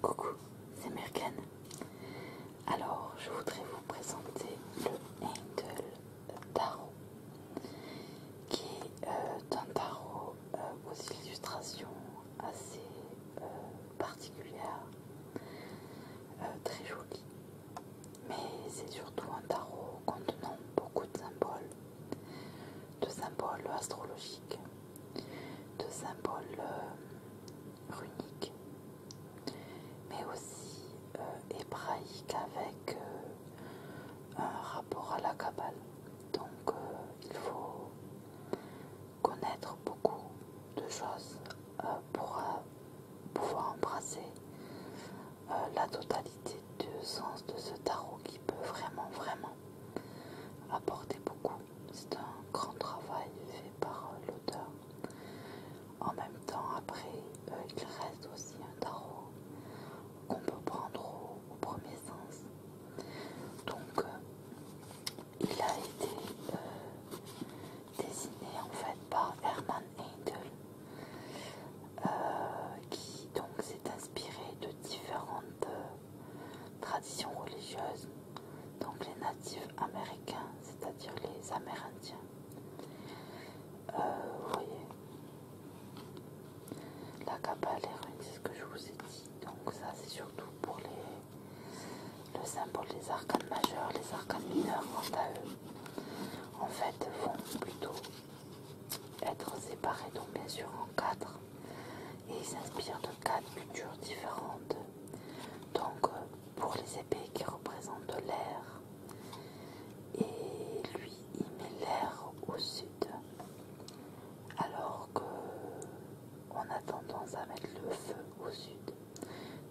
Coucou, c'est Merkane. Alors, je voudrais vous présenter le Handle Tarot, qui est euh, un tarot euh, aux illustrations assez euh, particulières, très jolies, mais c'est surtout un tarot contenant beaucoup de symboles de symboles astrologiques, de symboles euh, runiques, mais aussi euh, hébraïques avec euh, un rapport à la Kabbale. Donc il faut connaître beaucoup de choses pour pouvoir embrasser la totalité sens de ce tarot qui peut vraiment, vraiment apporter beaucoup. C'est un grand travail fait par euh, l'auteur. En même temps, après, euh, il reste aussi un tarot qu'on peut prendre au, premier sens. Donc, euh, il a été dessiné en fait par Hermann Heidel. Euh, qui donc s'est inspiré de différentes euh, traditions religieuses, donc les natifs américains, c'est-à-dire les Amérindiens. Euh, vous voyez, la Kabbale et runes, c'est ce que je vous ai dit. Donc ça, c'est surtout pour les, le symbole des arcanes majeurs, les arcanes mineurs quant à eux. En fait, vont plutôt être séparés donc bien sûr en quatre et il s'inspire de quatre cultures différentes. Donc euh, pour les épées qui représentent l'air et lui il met l'air au sud alors que on a tendance à mettre le feu au sud.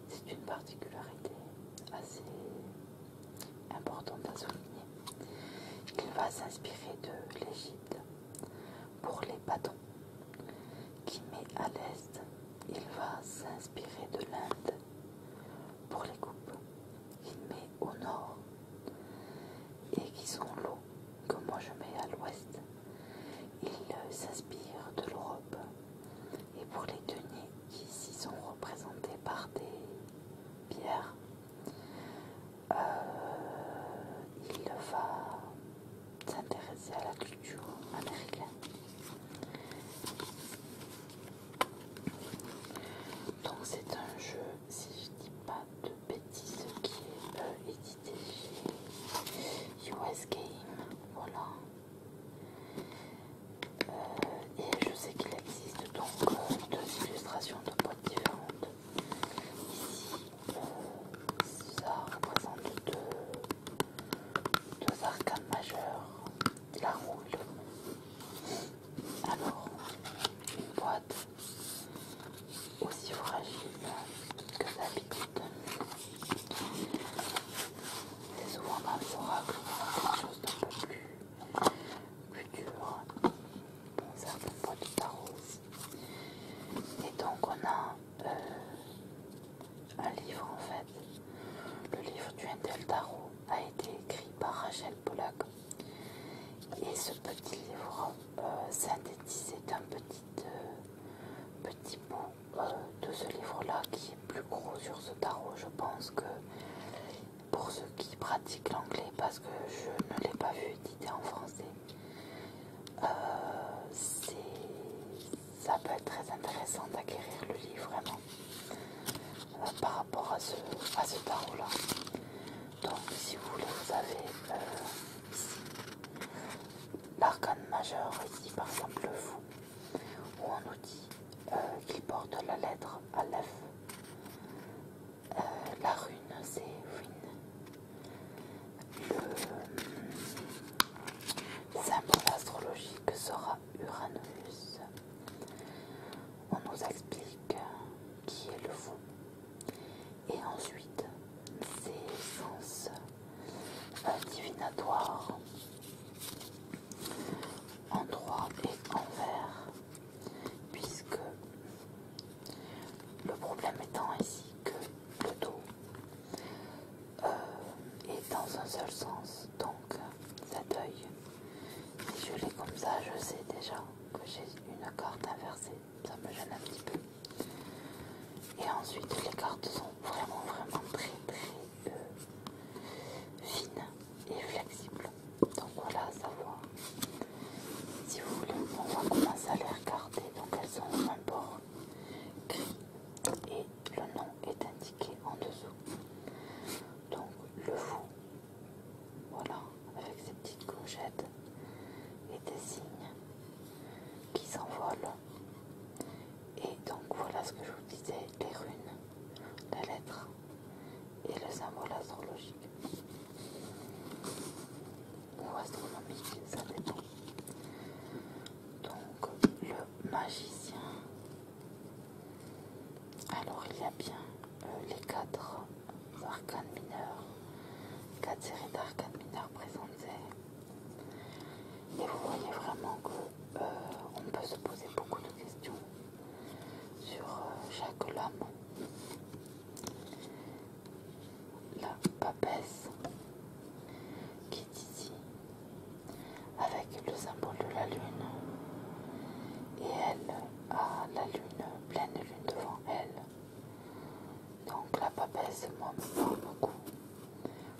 C'est une particularité assez important à souligner, il va s'inspirer de l'Egypte, pour les bâtons qui met à l'est. Il va s'inspirer de l'Inde pour les coupes qu'il met au nord et qui sont l'eau que moi je mets à l'ouest. Il euh, s'inspire de l'Europe et pour les deniers qui s'y sont représentés par des pierres euh, il va s'intéresser à la culture américaine. Donc c'est un jeu, si je dis pas de bêtises, qui est euh, édité chez US Game. Voilà. Euh, et je sais qu'il existe donc deux illustrations de différentes. Ici, euh, ça représente deux, deux arcanes majeures, la roule Alors, une boîte aussi fragile que d'habitude. C'est souvent dans quelque chose d'un peu plus dur un poids de tarot. Et donc on a euh, un livre en fait. Le livre du Intel Tarot a été écrit par Rachel Pollack. Et ce petit livre euh, synthétisé d'un petit, euh, petit bout de ce livre-là qui est plus gros sur ce tarot. Je pense que pour ceux qui pratiquent l'anglais parce que je ne l'ai pas vu édité en français. Euh, ça peut être très intéressant d'acquérir le livre vraiment euh, par rapport à ce, à ce tarot là. Donc si vous voulez vous avez euh, ici l'arcane majeur ici par exemple le fou où on nous dit porte la lettre à Aleph euh, la rune, c'est Win. Le symbole astrologique sera Uranus. On nous explique qui est le fou Et ensuite, ses sens divinatoires en droit et en vert, puisque le problème étant ici que le dos euh, est dans un seul sens, donc ça oeil, Si je l'ai comme ça, je sais déjà que j'ai une carte inversée, ça me gêne un petit peu. Et ensuite, les cartes sont vraiment, vraiment très, très euh, fines et flexibles. Donc voilà, ça savoir, Si vous voulez, on va commencer à les regarder. Donc elles ont un bord gris et le nom est indiqué en dessous. Donc le fou, voilà, avec ses petites gougettes et des signes qui s'envolent. Et donc voilà ce que je vous disais, les runes, la lettre et le symbole astrologique ou astronomique, ça dépend. Donc, le magicien, alors il y a bien euh, les quatre arcanes mineurs, quatre séries d'arcanes mineurs présentées, et vous voyez vraiment que euh, on peut se poser beaucoup de questions sur euh, chaque lame la papesse qui est ici avec le symbole de la lune et elle a la lune, pleine lune devant elle. Donc la papesse, moi, parle beaucoup.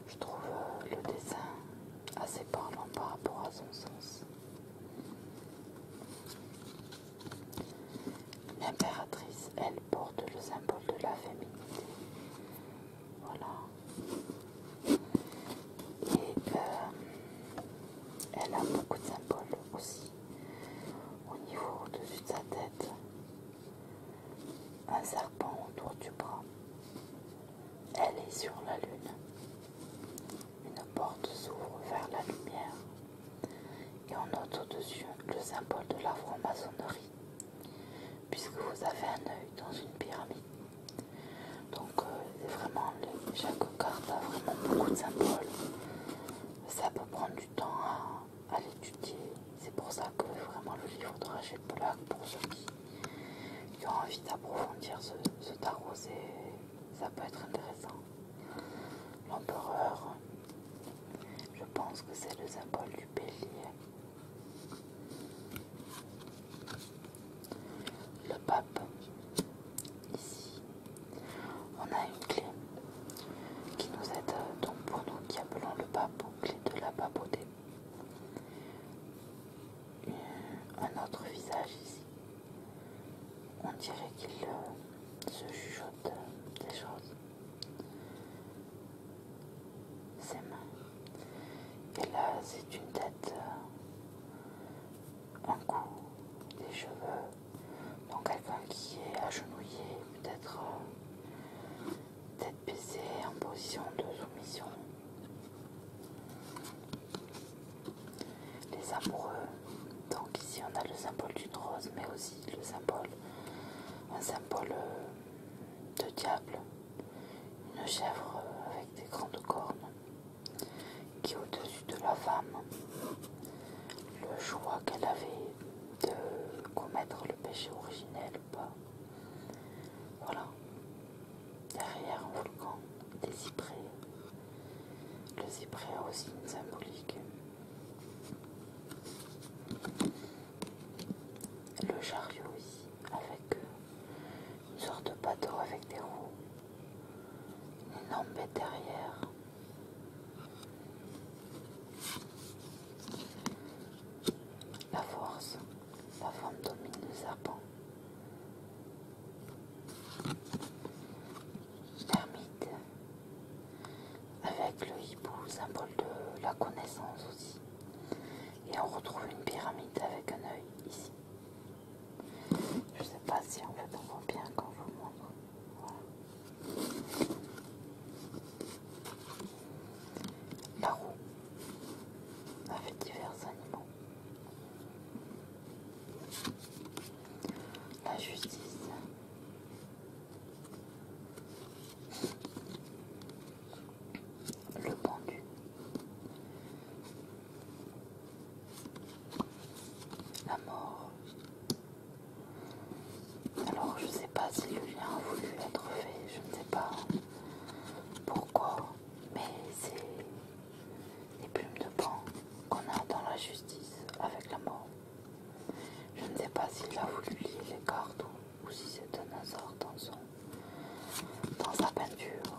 Je trouve le dessin assez parlant par rapport à son sens. L'impératrice, elle, porte le symbole de la féminité. Voilà. Et euh, elle a beaucoup de symboles aussi. Au niveau au-dessus de sa tête, un serpent autour du bras. Elle est sur la lune. Une porte s'ouvre vers la lumière. Et on note au-dessus le symbole de la franc-maçonnerie, puisque vous avez un œil dans une pyramide. Donc euh, c'est vraiment, chaque carte a vraiment beaucoup de symboles. Ça peut prendre du temps à, l'étudier. C'est pour ça que vraiment le livre de Rachel Polak pour ceux qui, ont envie d'approfondir ce, ce tarot, ça peut être intéressant. L'empereur, je pense que c'est le symbole du bélier. Le pape, ici, on a une clé qui nous aide, donc pour nous qui appelons le pape, clé de la papauté. Un autre visage ici. On dirait qu'il euh, se juge des choses. Ses mains. Et là, c'est une tête, un euh, cou, des cheveux. Donc quelqu'un qui est agenouillé, peut-être peut tête baissée en position de soumission. Les amoureux. Donc ici on a le symbole du rose, mais aussi le symbole, un symbole euh, de diable, une chèvre euh, avec des grandes cornes, qui au-dessus de la femme, le choix qu'elle avait de commettre le péché originel ou pas. Voilà, derrière un volcan, des cyprès. Le cyprès a aussi une symbolique. Le chariot ici, avec euh, une sorte de bateau avec des roues, une énorme derrière. La force, la forme domine le serpent l'ermite. Avec le hibou, symbole de la connaissance aussi. Et on retrouve une pyramide avec un œil ici. Je sais pas si en fait on voit bien quand je vous montre. La roue avec divers animaux. La justice, le pendu. La mort. Alors je sais pas si lien a voulu être fait, je ne sais pas pourquoi, mais c'est les plumes de pan qu'on a dans la justice avec la mort. Je ne sais pas s'il a voulu lire les cartes ou, si c'est un hasard dans, sa peinture.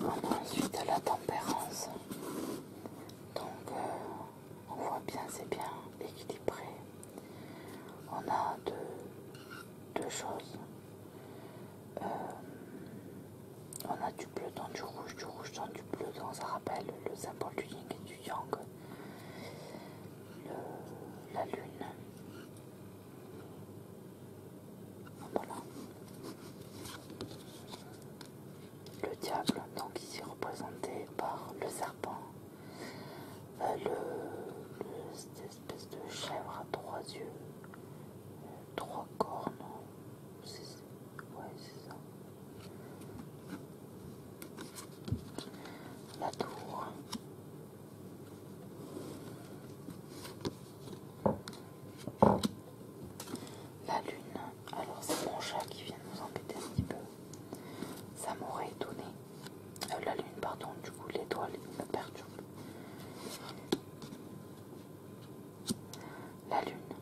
On ensuite la tempérance. Donc euh, on voit bien c'est bien équilibré. On a deux, choses. Euh, on a du bleu dans du rouge, du rouge dans du bleu dans ça rappel, le symbole du ying et du yang, la lune. Le diable, donc ici représenté par le serpent, euh, cette espèce de chèvre à trois yeux, euh, trois cornes, Ouais, c'est ça. La tour. La lune. Alors c'est mon chat qui vient nous embêter un petit peu. Ça m'aurait étonné. Euh, la lune, pardon, du coup l'étoile me perturbe. La lune.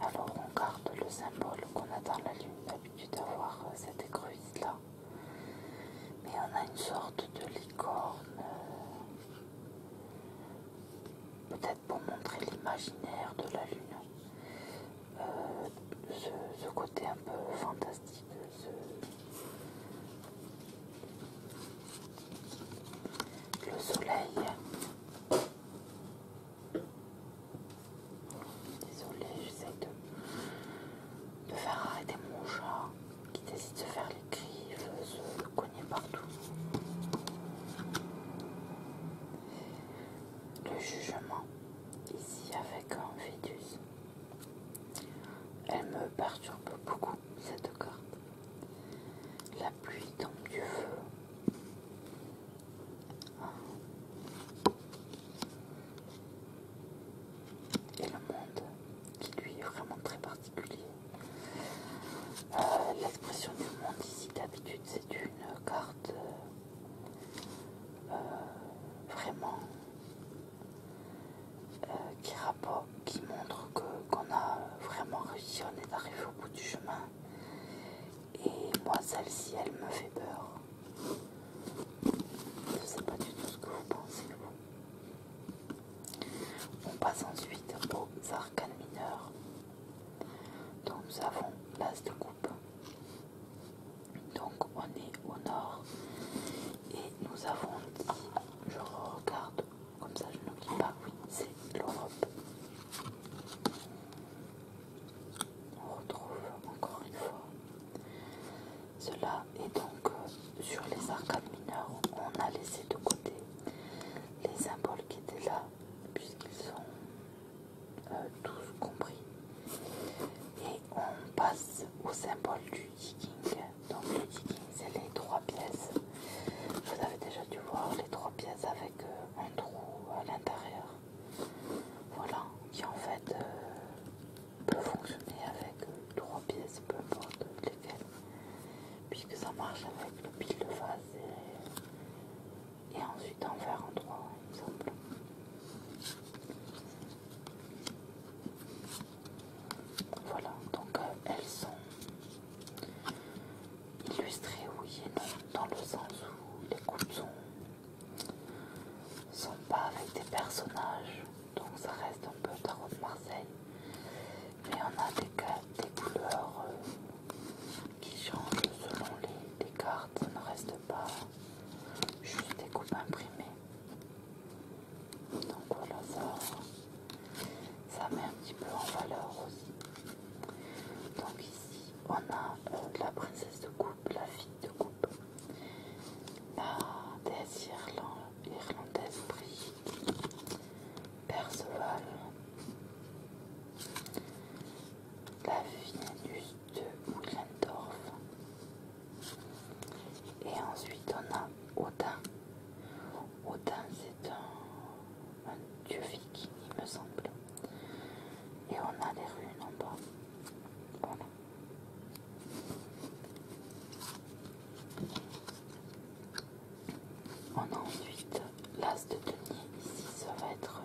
Alors on garde le symbole qu'on a dans la lune, l'habitude d'avoir euh, cette écrevisse-là. Mais on a une sorte de licorne, euh, peut-être pour montrer l'imaginaire de la lune. Euh, ce, côté un peu fantastique, ce... le soleil. Désolée, j'essaie de, faire arrêter mon chat qui décide de se faire les griffes, se cogner partout. Le jugement, ici avec un fœtus. Elle me perturbe beaucoup, cette carte. La pluie tombe du feu. Et le monde, qui lui est vraiment très particulier. Euh, l'expression du monde ici, d'habitude, c'est une carte euh, vraiment euh, qui, rapporte, qui montre qu'on a vraiment réussi, on est arrivé au bout du chemin et moi, celle-ci, elle me fait peur. Je sais pas du tout ce que vous pensez, On passe ensuite aux arcanes mineurs. Donc, nous avons l'as de coupe. Donc, on est au nord. Et nous avons dit, je regarde, comme ça je n'oublie pas, oui, c'est l'Europe on retrouve encore une fois. Cela est donc euh, sur les arcades mineures, on a laissé de côté les symboles qui étaient là, puisqu'ils sont euh, tous compris. Et on passe au symbole du yiking. Donc le yiking, c'est les trois pièces. Vous avez déjà dû voir les trois pièces avec euh, un trou à l'intérieur. Voilà, qui en fait euh, peut fonctionner avec euh, trois pièces, peu importe lesquelles, puisque ça marche avec le pile de face et, ensuite en faire en trois, Voilà, donc euh, elles sont illustré oui et non, dans le sens où les coups sont, sont pas avec des personnages, donc ça reste un peu tarot de Marseille, mais on a des, couleurs euh, qui changent selon les, cartes, ça ne reste pas juste des coupes imprimées. Donc voilà, ça met un petit peu en valeur aussi. Donc ici, on a euh, la princesse de coupe, la fille de coupe, la déesse irlandaise Brigitte, Perceval, la Vénus de Willendorf, et ensuite on a Odin. Odin c'est un un dieu il me semble. Et on a les runes en bas. Voilà. On a ensuite l'as de denier. Ici, ça va être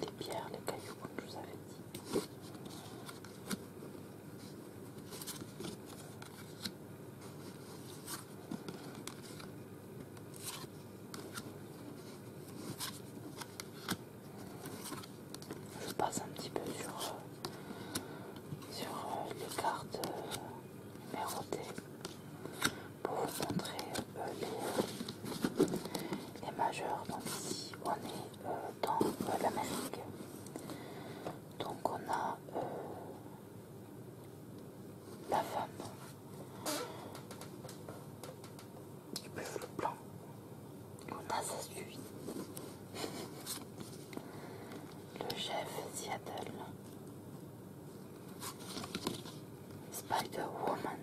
les pierres, les cailloux, comme je vous avais dit. Je passe un petit peu sur, euh, sur euh, les cartes euh, numérotées pour vous montrer les, majeurs. Donc ici on est dans la l'Amérique. Donc on a la femme le plan. on a ça Le chef Seattle. Spider-Woman.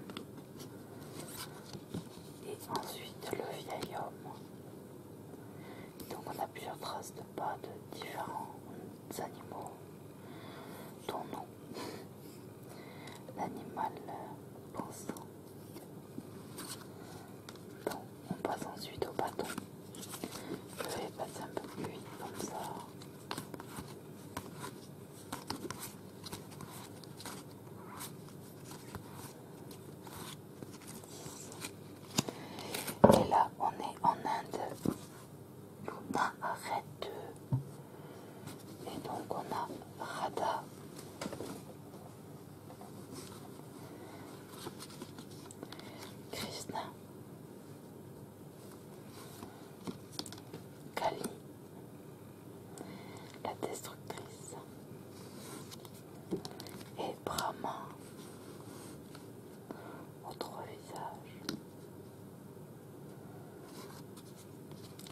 Et ensuite le vieil homme. Donc on a plusieurs traces de pas de différents animaux ton nom. L'animal euh, pensant. Bon, on passe ensuite au bâton. Je vais passer un peu plus vite comme ça. Et là, on est en Inde. Luna, arrête et donc on a Radha, Krishna. Kali. La destructrice. Et Brahma. autre visage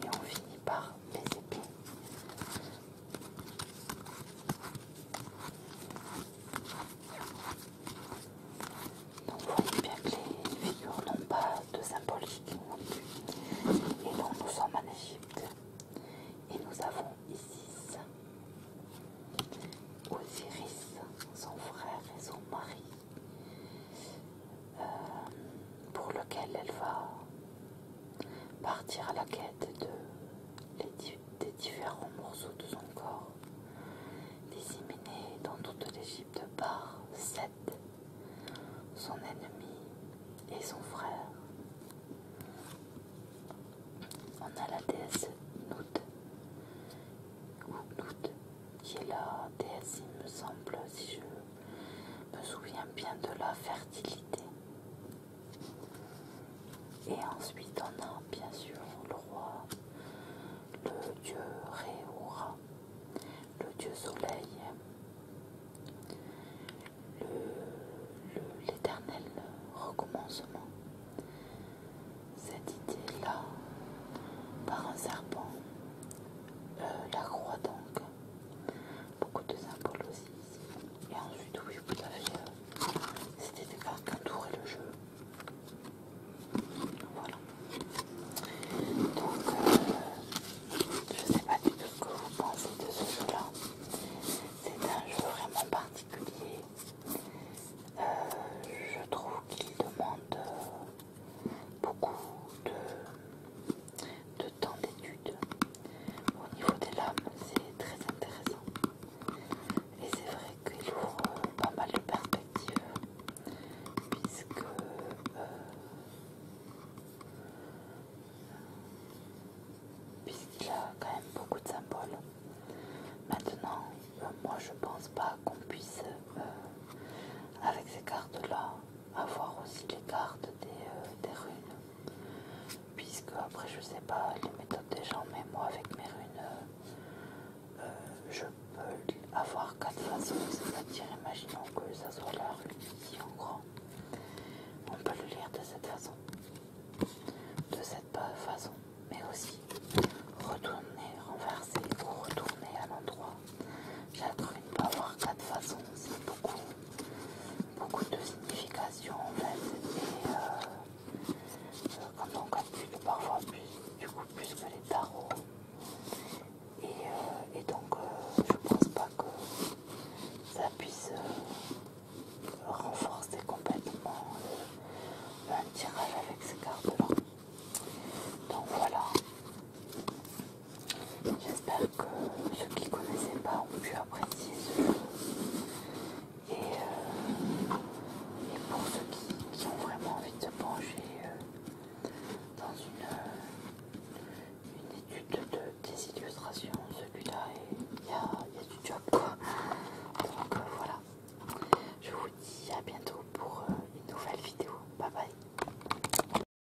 et on finit par les épées. Donc vous voyez bien que les figures n'ont pas de symbolique non plus. Et donc nous sommes en et nous avons ici Osiris, son frère et son mari, euh, pour lequel elle va partir à la quête des différents morceaux de son corps, disséminés dans toute l'Égypte par Seth, son ennemi et son frère. On a la déesse Nout, ou Nout, qui est la déesse, il me semble, si je me souviens bien de la fertilité. Et ensuite on a bien sûr le roi, le dieu Réoura, le dieu soleil, l'éternel recommencement. Cette idée-là, par un serpent, euh, la croix donc, beaucoup de symboles aussi ici. Et ensuite, oui, vous avez. Euh, C'était des cartes et le jeu. Voilà. Donc, euh, je sais pas du tout ce que vous pensez de ce jeu-là. C'est un jeu vraiment particulier. Euh, je trouve qu'il demande. Euh, beaucoup de, temps d'étude. Au niveau des lames, c'est très intéressant. Et c'est vrai qu'il ouvre euh, pas mal de perspectives, puisque euh, puisqu'il a quand même beaucoup de symboles. Maintenant, euh, moi je pense pas qu'on puisse, avec ces cartes-là, avoir aussi les cartes euh, des, runes puisque après je sais pas les méthodes des gens mais moi avec mes runes euh, euh, je peux avoir quatre façons c'est-à-dire imaginons que ça soit la rune ici en grand on peut le lire de cette façon de cette façon mais aussi retourner renverser ou retourner à l'endroit j'ai ne pas avoir quatre façons, c'est beaucoup, de signification en fait. Et quand on calcule parfois plus, du coup que les tarots. Et, euh, donc je euh, je pense pas que ça puisse euh, renforcer complètement un tirage avec ces cartes-là. Donc voilà. J'espère que ceux qui ne connaissaient pas ont pu apprécier ce jeu. Euh, et, pour ceux qui, ont vraiment envie de se pencher euh, dans euh, une, étude de, des illustrations, celui-là, il y a, du job Donc voilà. Je vous dis à bientôt pour une nouvelle vidéo. Bye bye.